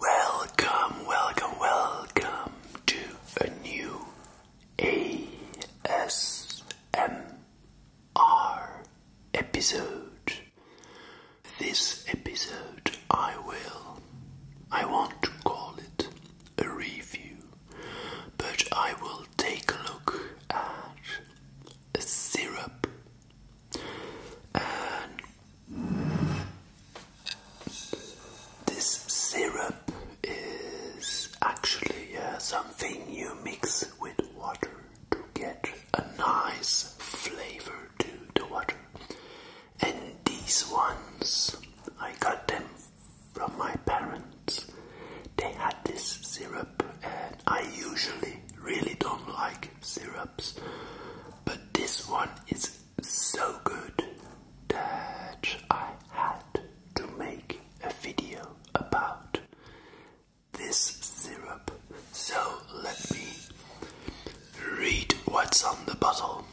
Welcome, welcome, welcome to a new ASMR episode. This episode I will, I want to call it a review, but I will take a look at a syrup and this syrup is actually uh, something you mix with water to get a nice flavor to the water. And these ones, I got them from my parents. They had this syrup, and I usually really don't like syrups, but this one is so good that I had to make a video about this syrup. So let me read what's on the bottle.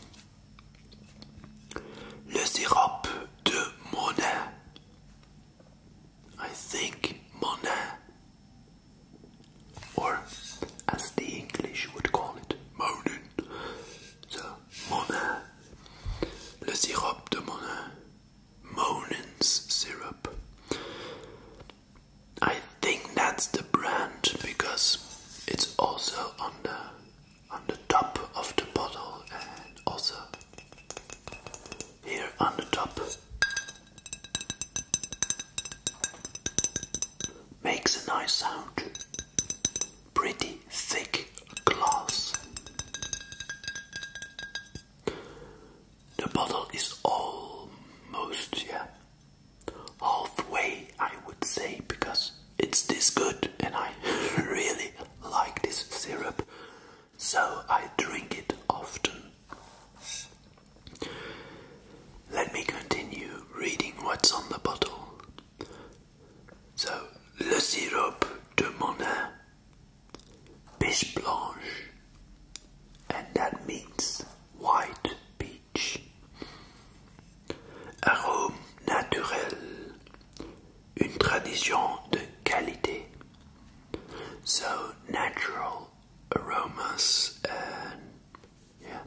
Le sirop de Monin. I think Monin or as the English would call it, moanin, the monin, le sirop monin's syrup. I think that's the brand because it's also on the on the top of the bottle and also here on the top Makes a nice sound. Pretty thick glass. The bottle is almost, yeah, halfway, I would say, because it's this good and I really like this syrup, so I drink it often. Let me continue reading what's on the bottle. So, le sirop de monin, biche blanche, and that means white peach. Arôme naturel, une tradition de qualité. So, natural aromas and yeah.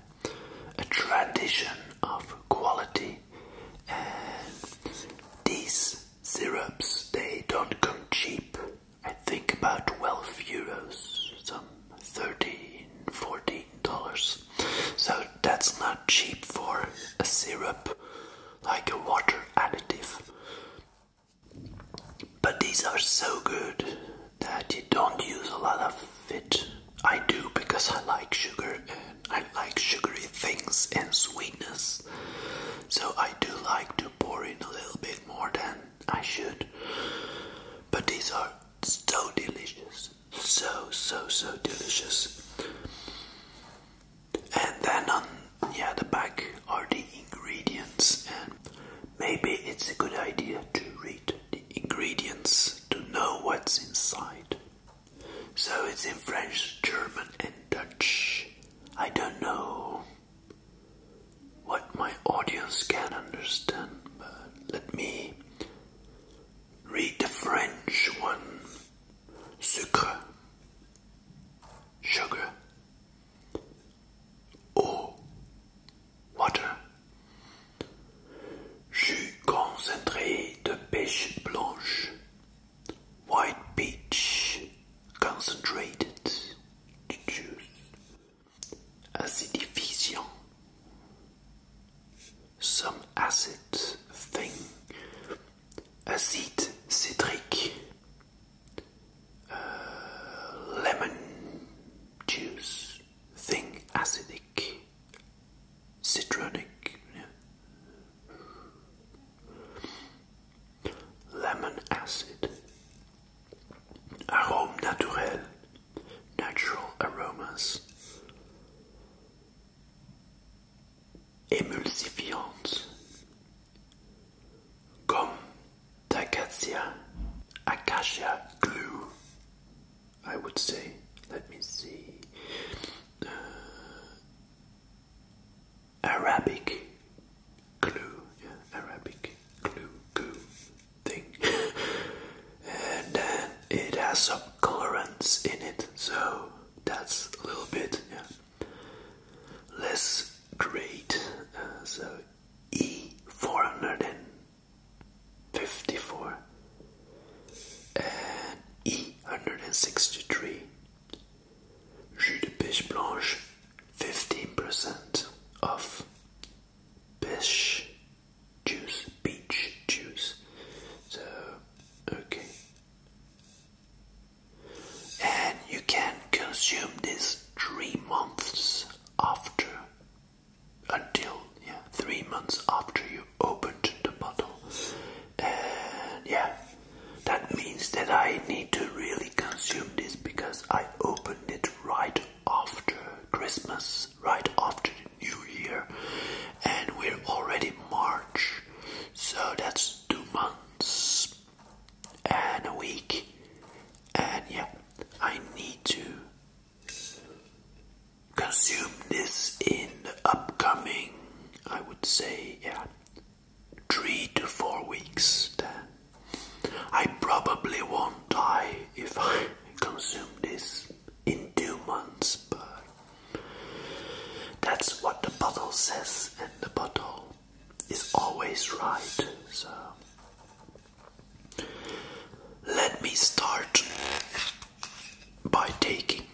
A tradition of quality and these syrups they don't come cheap. I think about 12 euros, some 13, 14 dollars. So that's not cheap for a syrup like a water additive. But these are so good that you don't use a lot of it. I do because I like sugar and I like sugary things and sweetness. So I do like to pour in a little bit more than I should. But these are so delicious. So, so, so delicious. And then on um, yeah, the back are the ingredients and Maybe it's a good idea to read the ingredients to know what's inside. So it's in French, German, and Dutch. I don't know what my audience can understand, but let me read the French one. Sucre, sugar, eau, water. Jus concentré de pêche blanche. White peach concentrated juice. Acidifiant. Some acid thing. acid citric lemon juice thing, acidic, citronic, lemon acid, arôme natural aromas. Émulsifiante, gomme Acacia, acacia glue. I would say. Let me see. Uh, Arabic glue, yeah, Arabic glue goo thing, and then it has some colorants in it, so that's a little bit yeah, less great. Uh, so E454 and E163. Juice de pêche blanche 15% off. Pêche juice, peach juice. So, okay. And you can consume this three months after until yeah, three months after you opened the bottle. And yeah, that means that I need to really consume this because I opened it right after Christmas, right after the New Year, and we're already March, so that's two months and a week and yeah, I need to consume this in the upcoming, I would say, yeah, three to four weeks. Then I probably won't die if I consume this in two months, but that's what the bottle says, and the bottle is always right. So let me start by taking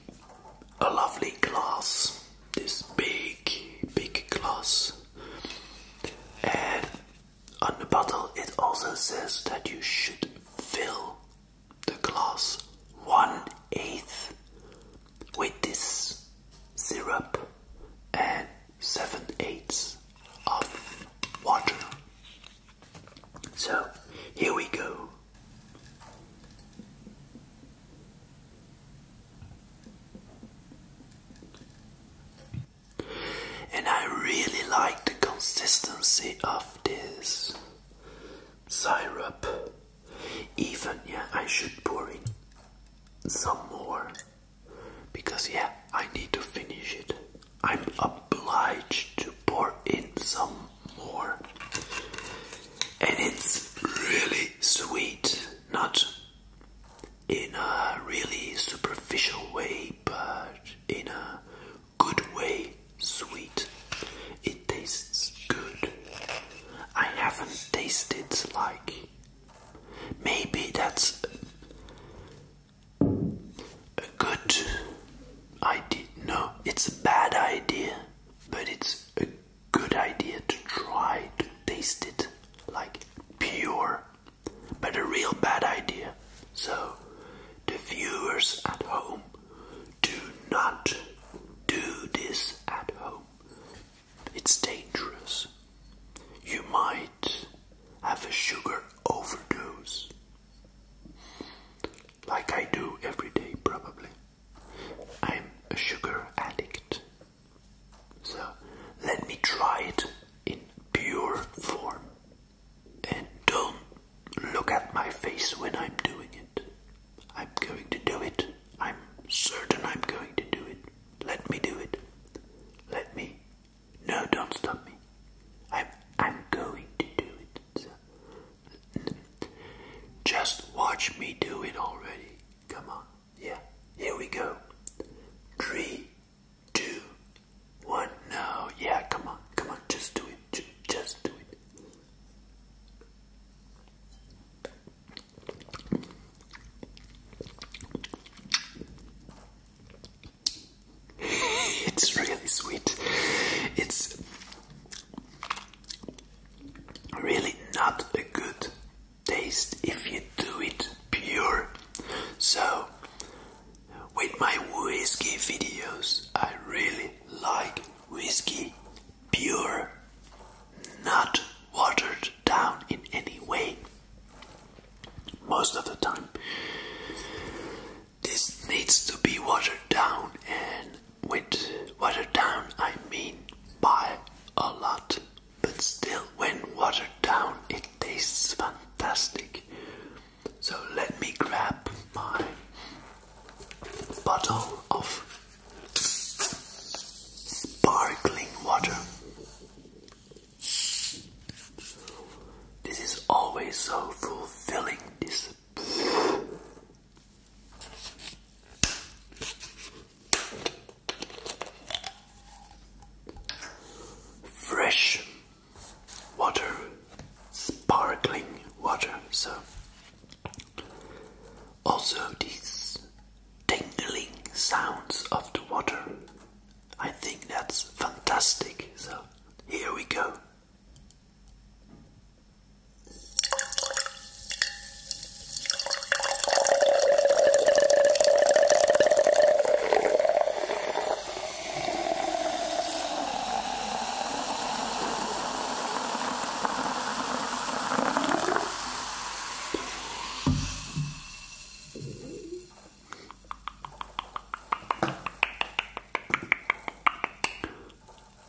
a lovely glass, this big, big glass, and on the bottle it also says that you should fill the glass one eighth with this syrup and seven eighths of water. So here we go. And I really like the consistency of this syrup. Even yeah, I should pour in some more because yeah, I need to finish it. I'm obliged to pour in some more. And it's really sweet, not in a really superficial way, but in a good way, sweet. It tastes good. I haven't tasted like Maybe that's a good idea. No, it's a bad idea, but it's a good idea to try to taste it like pure, but a real bad idea. So, the viewers at home do not do this at home it's dangerous. You might have a sugar overdose, like I do every day, probably. I'm a sugar addict. So let me try it in pure form. And don't look at my face when I'm doing it. I'm going to do it. I'm certain I'm going to do it. Let me do it. Let me. No, don't stop me. I'm, I'm going to do it. just watch me do it already. Come on. Yeah. Here we go. Three, two, one. No. Yeah. Come on. Come on. Just do it. Just do it it's really sweet. It's really not a good taste if you do it pure. So, with my whiskey videos, I really like whiskey pure, not watered down in any way most of the time. This needs to be watered down, and with watered down, I mean by a lot, but still, when watered down, it tastes fantastic. So, let me grab my bottle of sparkling water. This is always so fulfilling. This. Fresh water, sparkling water. So, also, these tingling sounds of the water. I think that's fantastic. So here we go.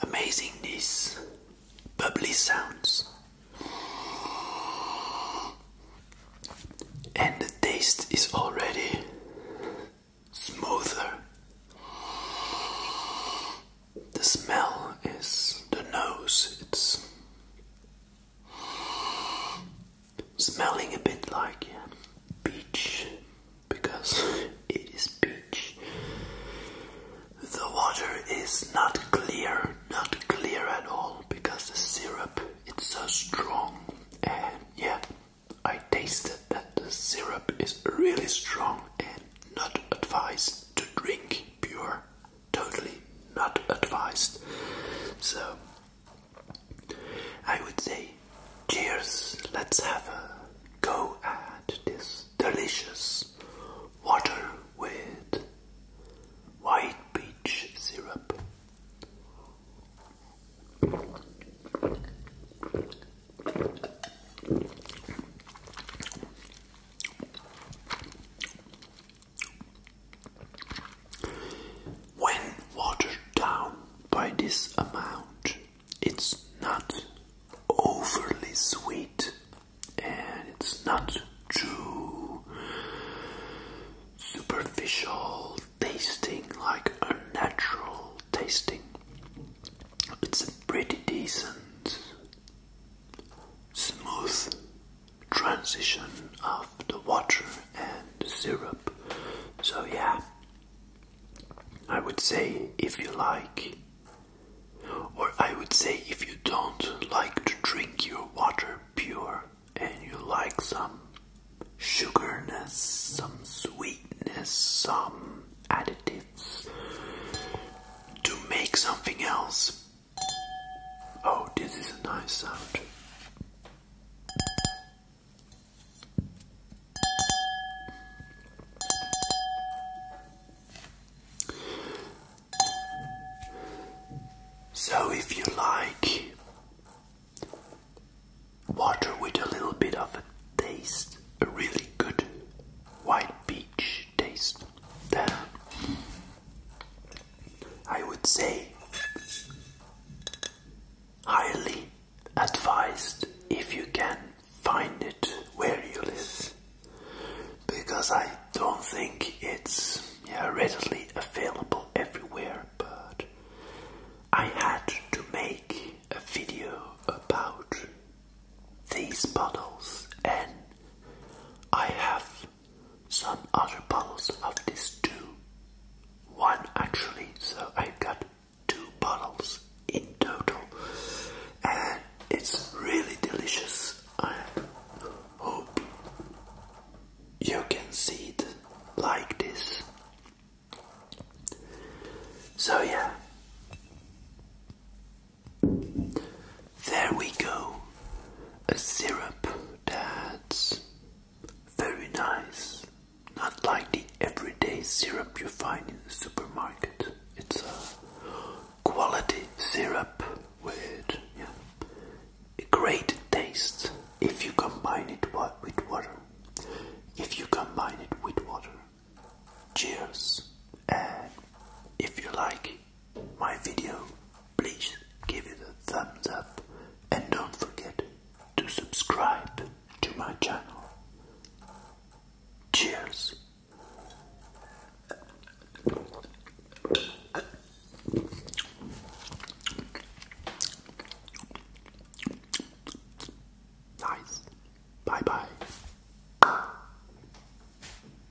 Amazingness, bubbly sounds. And the taste is already smoother. The smell is the nose, it's smelling a bit like peach because it is peach. The water is not clear, not clear at all because the syrup it's so strong and yeah I tasted that the syrup is really strong and not advised to drink pure totally not advised. So I would say, cheers, let's have a go at this delicious water with white peach syrup. When watered down by this amount, it's not overly sweet and it's not too superficial tasting, like unnatural tasting. It's a pretty decent, smooth transition of the water and the syrup. So, yeah, I would say if you like, or I would say if you don't like to drink your water pure and you like some sugarness, some sweetness, some additives to make something else Oh, this is a nice sound. So, if you like water with a little bit of a taste, a really good white peach I would say highly advised if you can find it where you live because I don't think it's readily available everywhere but I had to make a video about these bottles and I have some other bottles of this too. One actually, so I have got two bottles in total, and it's really delicious. I hope you can see it like this. So, yeah, there we go. A syrup that's very nice. Not like the everyday syrup you find in the supermarket. It's a quality syrup with yeah, a great taste if you combine it with water. If you combine it with water. Cheers! And if you like, my video, please give it a thumbs up and don't forget to subscribe to my channel. Cheers! Nice. Bye bye.